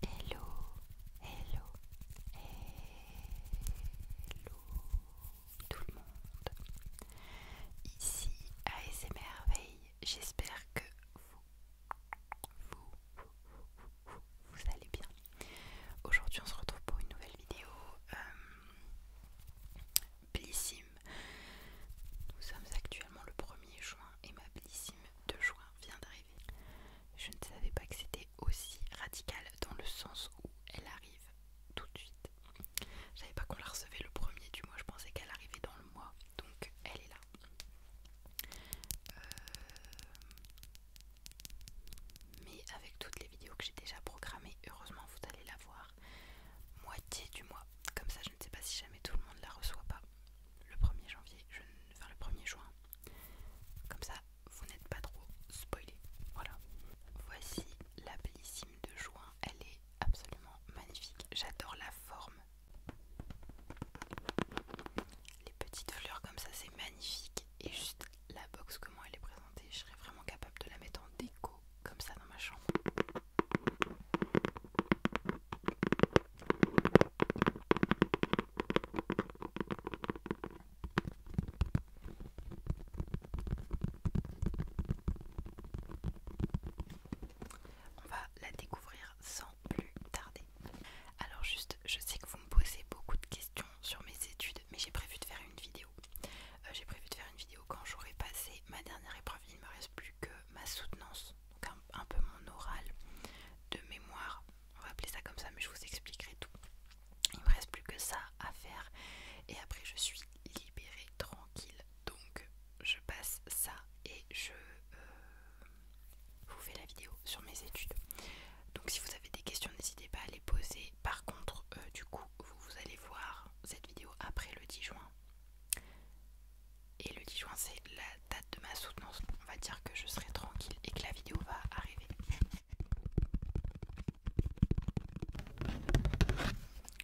Hello, hello, hello tout le monde. Ici merveilles j'espère que vous, vous, vous, vous, allez bien. Aujourd'hui on se retrouve pour une nouvelle vidéo euh, Blissim, Nous sommes actuellement le 1er juin et ma Blissim de juin vient d'arriver. Je ne savais pas que c'était aussi radical dans le sens où elle arrive tout de suite. Je savais pas qu'on la recevait le premier du mois, je pensais qu'elle arrivait dans le mois, donc elle est là. Euh, mais avec toutes les vidéos que j'ai déjà programmées, heureusement vous allez la voir moitié du mois. Comme ça je ne sais pas si jamais tout le monde la reçoit pas le 1er janvier, je, faire le 1er juin. Comme ça, vous n'êtes pas trop spoilé. Voilà. Voici la bellissime de juin. Elle est absolument magnifique. J'adore la forme. Les petites fleurs comme ça, c'est magnifique. Et juste la box, comment elle est présentée, je serais vraiment capable de la mettre en déco comme ça dans ma chambre. On va la découvrir sans plus tarder. Alors juste, je sais que vous me posez beaucoup de questions sur mes études, mais j'ai prévu de faire une vidéo. Euh, j'ai prévu de faire une vidéo quand j'aurai passé ma dernière épreuve. Il ne me reste plus que ma soutenance, un, peu mon oral de mémoire, on va appeler ça comme ça, mais je vous expliquerai tout. Il me reste plus que ça à faire et après je suis libérée, tranquille. Donc je passe ça et je euh, vous fais la vidéo sur mes études. Donc si vous avez des questions, n'hésitez pas à les poser. Par contre, euh, du coup, vous allez voir cette vidéo après le 10 juin. Et le 10 juin, c'est la date de ma soutenance. On va dire que je serai tranquille et que la vidéo va arriver.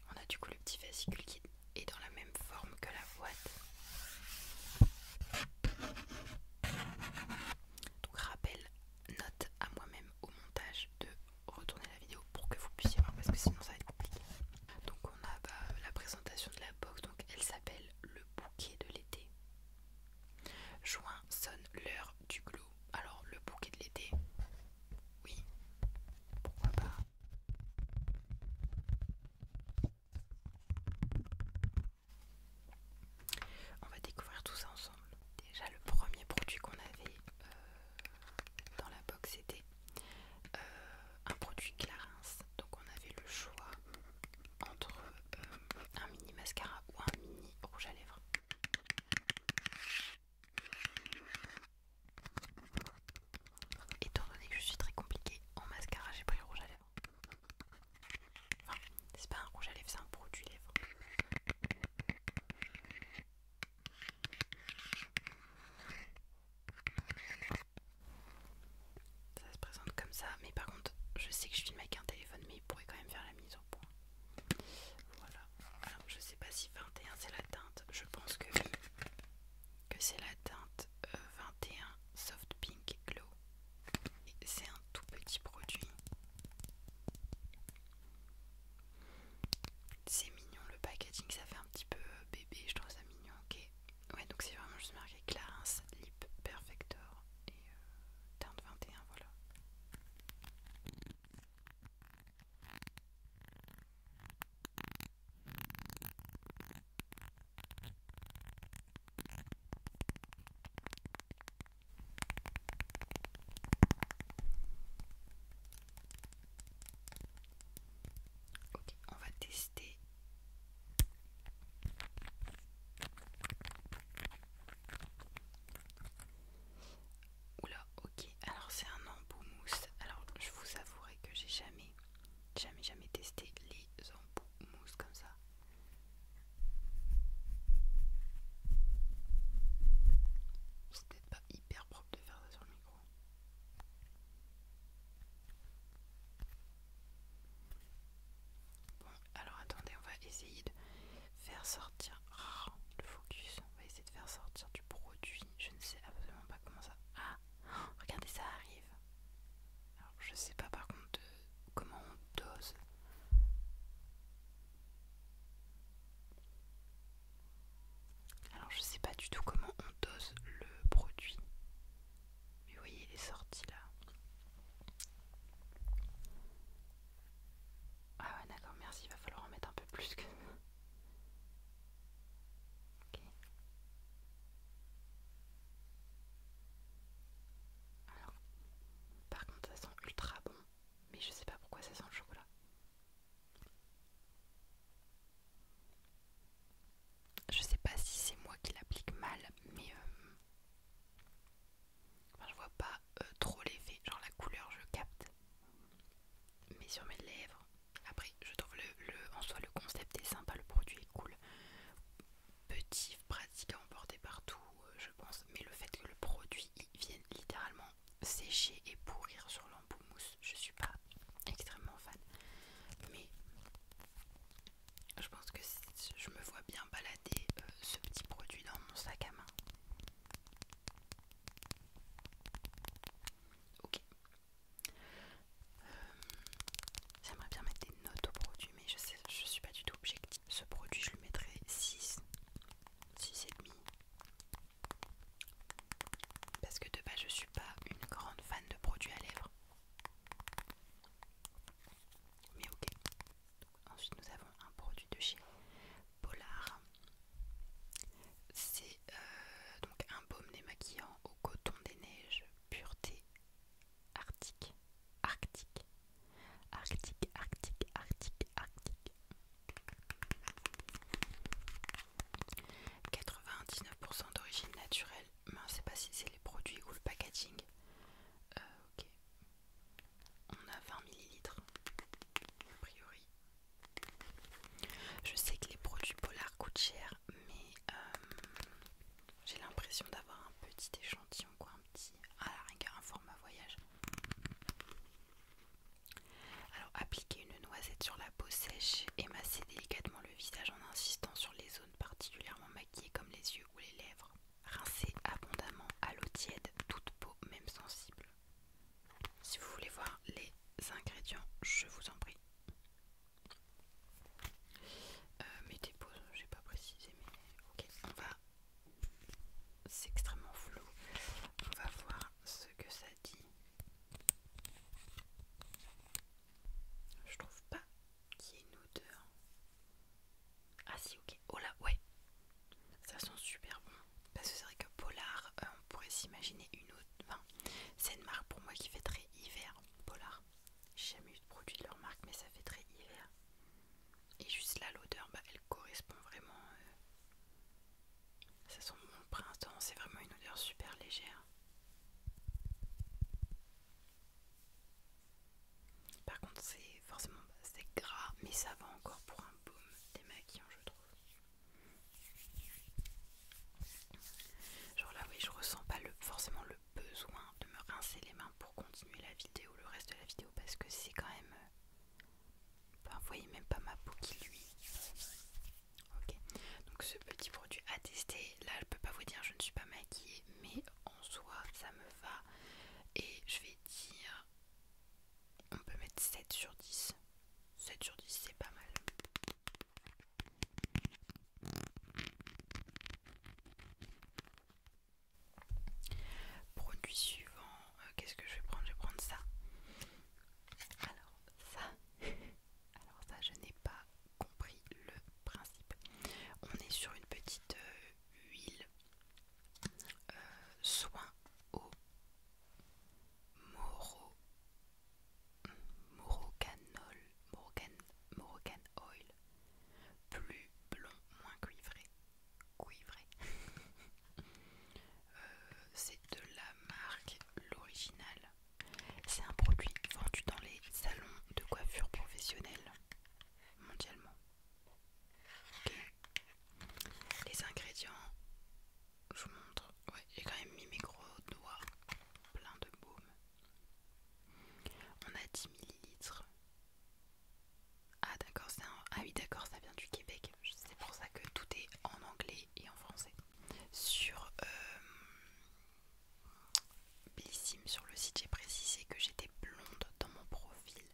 On a du coup le petit fascicule qui est dans la même forme que la boîte. Donc rappel, note à moi-même au montage de retourner la vidéo pour que vous puissiez voir parce que sinon ça va être compliqué. Donc on a bah, la présentation de la box, donc elle s'appelle Le bouquet de l'été. Juin sonne l'heure du glow. Alors, le bouquet de l'été, oui, pourquoi pas. On va découvrir tout ça ensemble. Déjà, le premier produit qu'on avait euh, dans la box, était euh, un produit Clarins. Donc on avait le choix entre euh, un mini mascara ou un mini rouge à lèvres. Étant donné que je suis très compliquée en mascara, j'ai pris rouge à lèvres. Enfin, c'est pas un rouge à lèvres, c'est un produit lèvres. Ça se présente comme ça, mais par contre, je sais que je filme avec un téléphone, mais il pourrait quand même faire la mise au point. Voilà. Alors, je sais pas si 21 c'est la teinte. Je pense que, que c'est la teinte 21 euh, Soft Pink Glow. et C'est un tout petit produit. C'est mignon le packaging, ça fait un petit peu euh, bébé, je trouve ça mignon, ok. Ouais, donc c'est vraiment juste marqué Clarins Lip Perfector et euh, teinte 21, voilà. Ok, on va tester. Oula, ok. Alors c'est un embout mousse. Alors je vous avouerai que j'ai jamais, jamais, jamais testé les embouts mousse comme ça. C'est peut-être pas hyper propre de faire ça sur le micro. Bon, alors attendez, on va essayer de faire sortir le focus. On va essayer de faire sortir du produit. Je ne sais absolument pas comment ça. Ah, regardez, ça arrive. Alors, je sais pas par contre comment on dose. Alors je sais pas du tout comment on dose le produit. Mais vous voyez, il est sorti là. Ah ouais d'accord, merci, il va falloir en mettre un peu plus que... Alors, par contre ça sent ultra bon, mais je sais pas pourquoi ça sent le chocolat. Je sais pas si c'est moi qui l'applique mal, mais euh, je vois pas euh, trop l'effet. Genre la couleur, je capte, mais sur mes lèvres. Après, je trouve le, en soi le concept est sympa, le produit est cool, petit, pratique à emporter partout, euh, je pense. Mais le fait que le produit vienne littéralement sécher et pourrir sur l'embout mousse. Je suis pas extrêmement fan, mais je pense que je me vois bien balader euh, ce petit produit dans mon sac à main. Ok. Euh, j'aimerais bien mettre des notes au produit, mais je sais, je suis pas du tout objective. Ce produit, je le mettrais 6, 6,5. Parce que de base, je suis pas une grande fan de produits à lèvres. Mais ok. Ensuite, nous avons un produit de chez Polar. C'est euh, donc un baume démaquillant au coton des neiges, pureté arctique, arctique, arctique, arctique, arctique, arctique, 99% d'origine naturelle. Mais on ne sait pas si c'est les produits ou le packaging. Euh, ok. On a 20 ml. A priori. Je sais que les produits polars coûtent cher, mais euh, j'ai l'impression d'avoir un petit échantillon, quoi, un petit, à la rigueur, un format voyage. Alors appliquez une noisette sur la peau sèche et massez délicatement le visage en insistant sur les zones particulièrement maquillées comme les yeux ou les lèvres. Rincez abondamment à l'eau tiède toute peau même sensible. Si vous voulez voir les ingrédients, je vous en prie. Euh, mettez pause, j'ai pas précisé mais ok, on va. C'est extrêmement flou. On va voir ce que ça je trouve pas qu'il y ait une odeur. Ah si, ok. Oh là, ouais. Ça sent super bon. Parce que c'est vrai que Polar, euh, on pourrait s'imaginer une autre. c'est une marque pour moi qui fait très hiver. Polar. J'ai jamais eu de produit de leur marque, mais ça fait très hiver. Et juste là, l'odeur, bah, elle correspond vraiment euh, ça sent bon printemps, c'est vraiment une odeur super légère. Par contre, c'est forcément c'est gras, mais ça va encore pour un des démaquillant, je trouve. Genre là, oui, je ressens pas le, forcément le besoin de me rincer les mains pour continuer la vidéo, le reste de la vidéo, parce que c'est quand même euh, vous voyez même pas ma peau qui lui. Ok, donc ce petit produit à tester. Là, je peux pas vous dire, je ne suis pas maquillée, mais en soi, ça me va. Et je vais dire, on peut mettre 7 sur 10. 7 sur 10, c'est pas mal. Produit suivant, euh, qu'est-ce que je vais prendre Je vais prendre ça. Alors ça, alors ça, je n'ai pas compris le principe. On est sur une petite euh, huile euh, soin au moro, morocanol, oil, plus blond, moins cuivré vrai euh, c'est de la marque L'Original. C'est un produit vendu dans les salons de coiffure professionnels mondialement. Les ingrédients, je vous montre. Ouais, j'ai quand même mis mes gros doigts plein de baume. On a 10 ml ah d'accord, Ah oui d'accord, ça vient du Québec. C'est pour ça que tout est en anglais et en français. Sur euh, Bellissime, sur le site, j'ai précisé que j'étais blonde dans mon profil.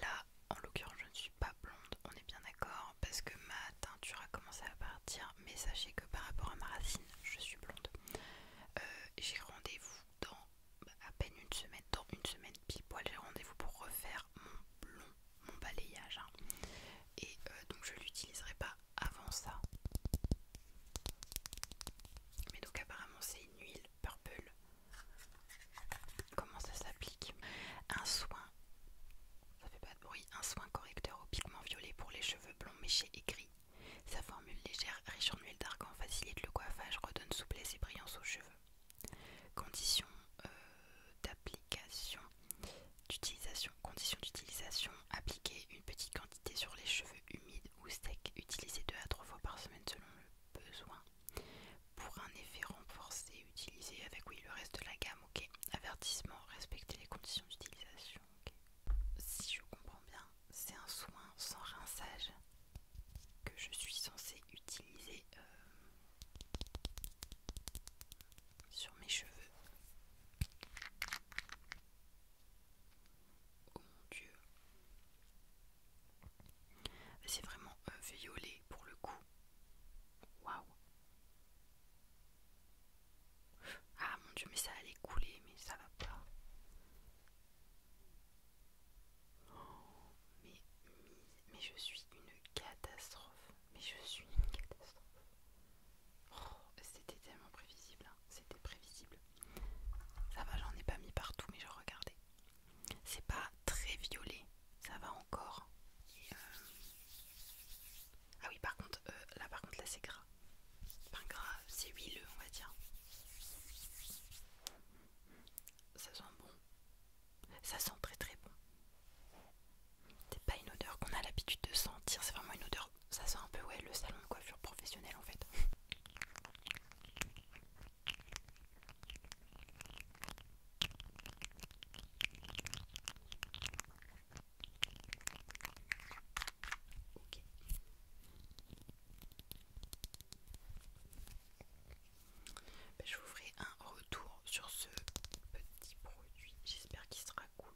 Là, en l'occurrence, je ne suis pas blonde, on est bien d'accord, parce que ma teinture a commencé à partir, mais sachez que par rapport à ma racine, je suis blonde. Euh, j'ai rendez-vous dans bah, à peine une semaine, dans une semaine pile poil, j'ai rendez-vous pour refaire mon blond, mon balayage. Hein. Et euh, donc je l'utiliserai pas avant ça. Mais donc apparemment c'est une huile purple. Comment ça s'applique Un soin, ça fait pas de bruit, un soin correcteur au pigment violet pour les cheveux blonds méchés et gris. Sa formule légère, riche en huile d'argan, facilite le coiffage, redonne souplesse et brillance aux cheveux. Conditions euh, d'application d'utilisation. Conditions d'utilisation appliquer une petite quantité sur les cheveux humides ou secs, utiliser 2 à 3 fois par semaine selon le besoin. Pour un effet renforcé, utiliser avec oui le reste de la gamme, Avertissement, respecter les conditions d'utilisation, Si je comprends bien, c'est un soin sans rinçage que je suis censée utiliser euh, sur mes cheveux. Oh mon dieu. C'est vraiment un euh, violet pour le coup. Waouh. Ah mon dieu, mais ça allait couler, mais ça va pas mais, je suis une catastrophe. Mais je suis une catastrophe. Oh, c'était tellement prévisible. Hein. C'était prévisible. Ça va, j'en ai pas mis partout, mais je regardais. C'est pas très violet. Ça va encore. Euh, ah oui, par contre, euh, là par contre, là c'est gras. Enfin gras, c'est huileux, on va dire. Ça sent bon, ça sent très très bon. C'est pas une odeur qu'on a l'habitude de sentir, c'est vraiment une odeur. Ça sent un peu ouais le salon de coiffure professionnel en fait. Ben, je vous ferai un retour sur ce petit produit. J'espère qu'il sera cool.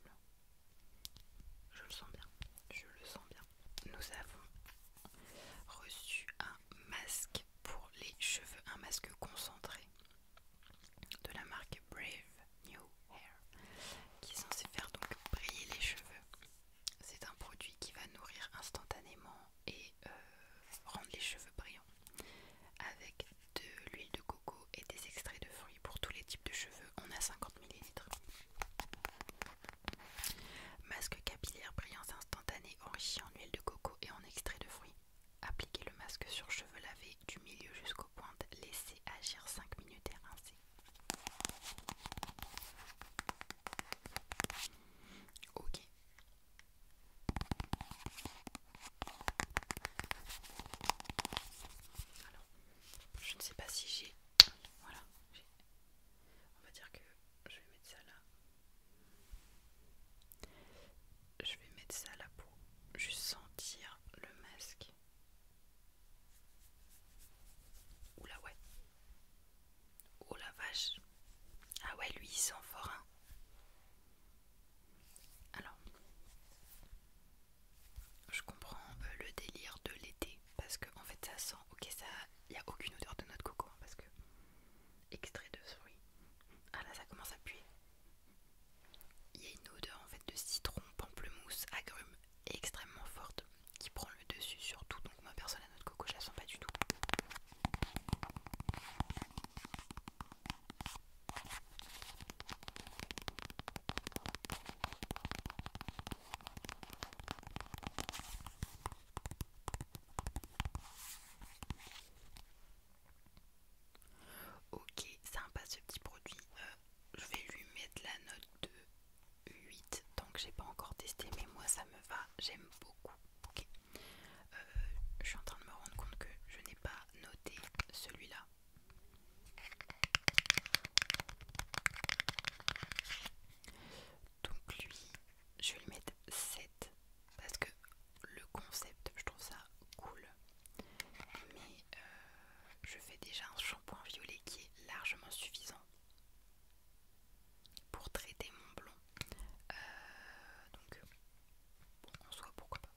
Je le sens bien. Je le sens bien. Nous avons reçu un masque pour les cheveux, un masque concentré de la marque Brave New Hair qui est censé faire donc briller les cheveux. C'est un produit qui va nourrir instantanément et euh, rendre les cheveux brillants avec de l'huile de coco et des extraits de fruits pour tous les types de cheveux. On a 50 ml. Masque capillaire brillant instantané enrichi en huile de coco et en extrait de fruits. Appliquez le masque sur cheveux lavés du milieu jusqu'aux pointes. Laissez agir 5 minutes et rincez. Ok. Alors, je ne sais pas si j'ai. Voilà. On va dire que je vais mettre ça là. Je vais mettre ça là pour juste sentir le masque. Oula ouais. Oh la vache. Ah ouais, lui, il sent fort. Hein Alors, je comprends euh, le délire de l'été. Parce que, fait, ça sent. Ok, ça. Il n'y a aucune odeur de notre coco. Hein, parce que. Extrait de fruits. Ah là, ça commence à puer. Il y a une odeur en fait de citron, pamplemousse, agrumes extrêmement forte qui prend le dessus surtout, Donc ma personne à notre coco, je la sens pas du tout. Ok, sympa ce petit produit. Euh, je vais lui mettre la note de 8 donc j'ai pas encore testé mais moi ça me va j'aime beaucoup ok euh, je suis en train de me rendre compte que je n'ai pas noté celui-là donc lui je vais lui mettre 7 parce que le concept je trouve ça cool mais euh, je fais déjà un shampoing violet qui est largement suffisant pour traiter mon blond. Euh, donc, en soit pourquoi pas.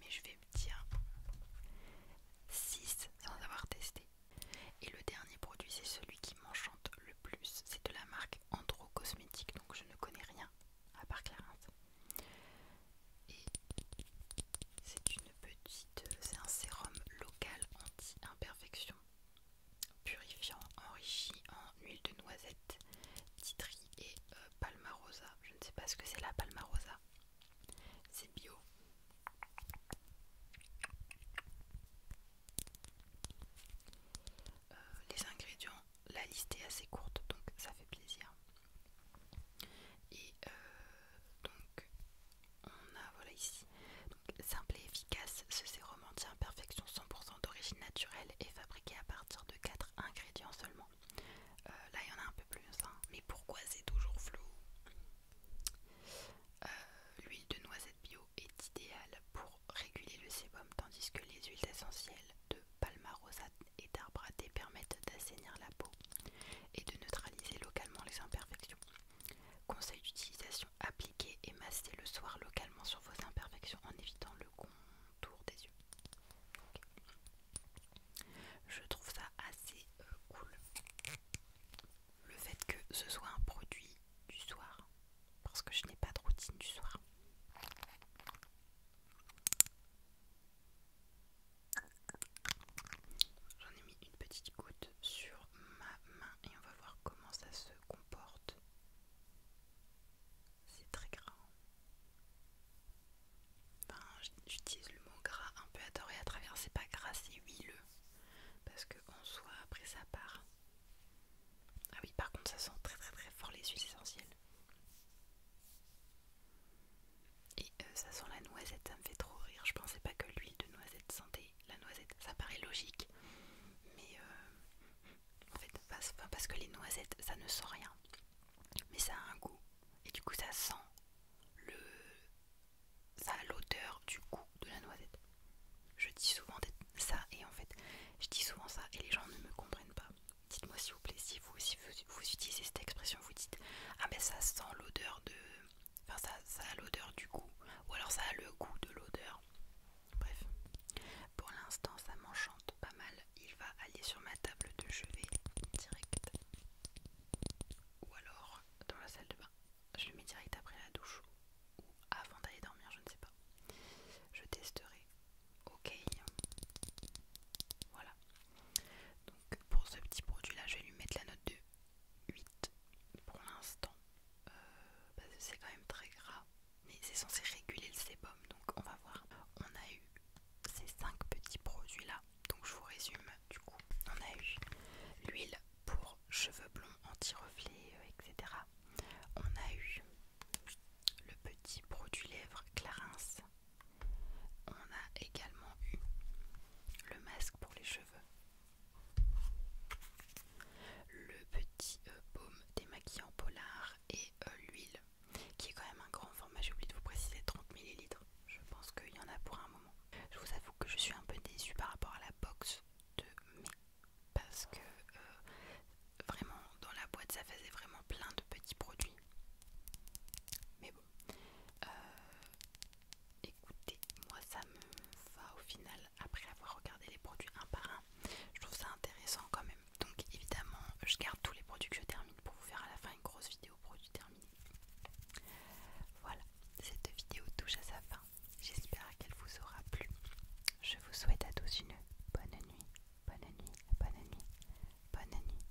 Mais je vais me dire 6 sans avoir testé. Et le dernier produit, c'est celui qui m'enchante le plus. C'est de la marque Andro Cosmétique, donc je ne connais rien à part Clarins. Et c'est une petite, c'est un sérum local anti-imperfection purifiant enrichi en huile de noisette, titri et euh, palmarosa. Je ne sais pas ce que c'est la palmarosa. C'est bio. Euh, les ingrédients, la liste est assez courte donc ça fait plaisir. Et euh, donc on a voilà ici. simple et efficace, ce sérum anti-imperfection 100% d'origine naturelle est fabriqué à partir de 4 ingrédients seulement. Euh, là, il y en a un peu plus, hein. mais pourquoi c'est toujours flou euh, L'huile de noisette bio est idéale pour réguler le sébum, tandis que les huiles essentielles de palmarosa et thé permettent d'assainir la peau et de neutraliser localement les imperfections. Conseil d'utilisation appliquer et massez le soir localement sur vos imperfections en évitant le contour des yeux. Je trouve ça assez euh, cool. Le fait que ce soit un produit du soir, parce que je n'ai pas de routine du soir. J'en ai une petite goutte sur ma main et on va voir comment ça se comporte. C'est très gras. Enfin, J'utilise le mot gras un peu adoré à travers, c'est pas gras, c'est huileux. Parce qu'en en soi, après ça part. Ah oui, par contre, ça sent très très très fort les huiles essentielles. Et euh, ça sent la noisette, ça me fait trop rire. Je pensais pas que l'huile de noisette sentait la noisette. Ça paraît logique, mais euh, en fait, parce, que les noisettes, ça ne sent rien, mais ça a un goût. Et du coup, ça sent le, ça a l'odeur du goût de la noisette. Je dis souvent ça et en fait, je dis souvent ça et les gens ne me comprennent pas. Dites-moi s'il vous plaît si vous, si vous, utilisez cette expression, vous dites ah mais ben, ça sent l'odeur de Enfin, ça, ça a l'odeur du goût. Ou alors ça a le goût de l'odeur. Bref. Pour l'instant, ça m'enchante pas mal. Il va aller sur ma table de chevet direct. Ou alors dans la salle de bain. Je le mets direct après la douche. Ou avant d'aller dormir, je ne sais pas. Je testerai. Ok. Voilà. Donc pour ce petit produit là, je vais lui mettre la note 2. 8 pour l'instant. Euh, c'est quand même très gras, mais c'est censé réguler le sébum, donc on va voir. On a eu ces 5 petits produits là, donc je vous résume du coup. On a eu l'huile pour cheveux blonds anti-reflet, euh, etc. On a eu le petit produit lèvres Clarins. On a également eu le masque pour les cheveux le petit euh, baume baume démaquillant polar et euh, l'huile qui est quand même un grand format, j'ai oublié de vous préciser 30ml, je pense qu'il y en a pour un moment. Je vous avoue que je suis un peu déçue par rapport à la box de mai parce que euh, vraiment dans la boîte ça faisait vraiment plein de petits produits. Mais bon, écoutez, moi ça me va au final après avoir regardé les produits un par un. Je trouve ça intéressant quand même. Donc évidemment, je garde tous les produits que je termine pour vous faire à la fin une grosse vidéo produits terminés. Voilà, cette vidéo touche à sa fin. J'espère qu'elle vous aura plu. Je vous souhaite à tous une bonne nuit, bonne nuit, bonne nuit, bonne nuit.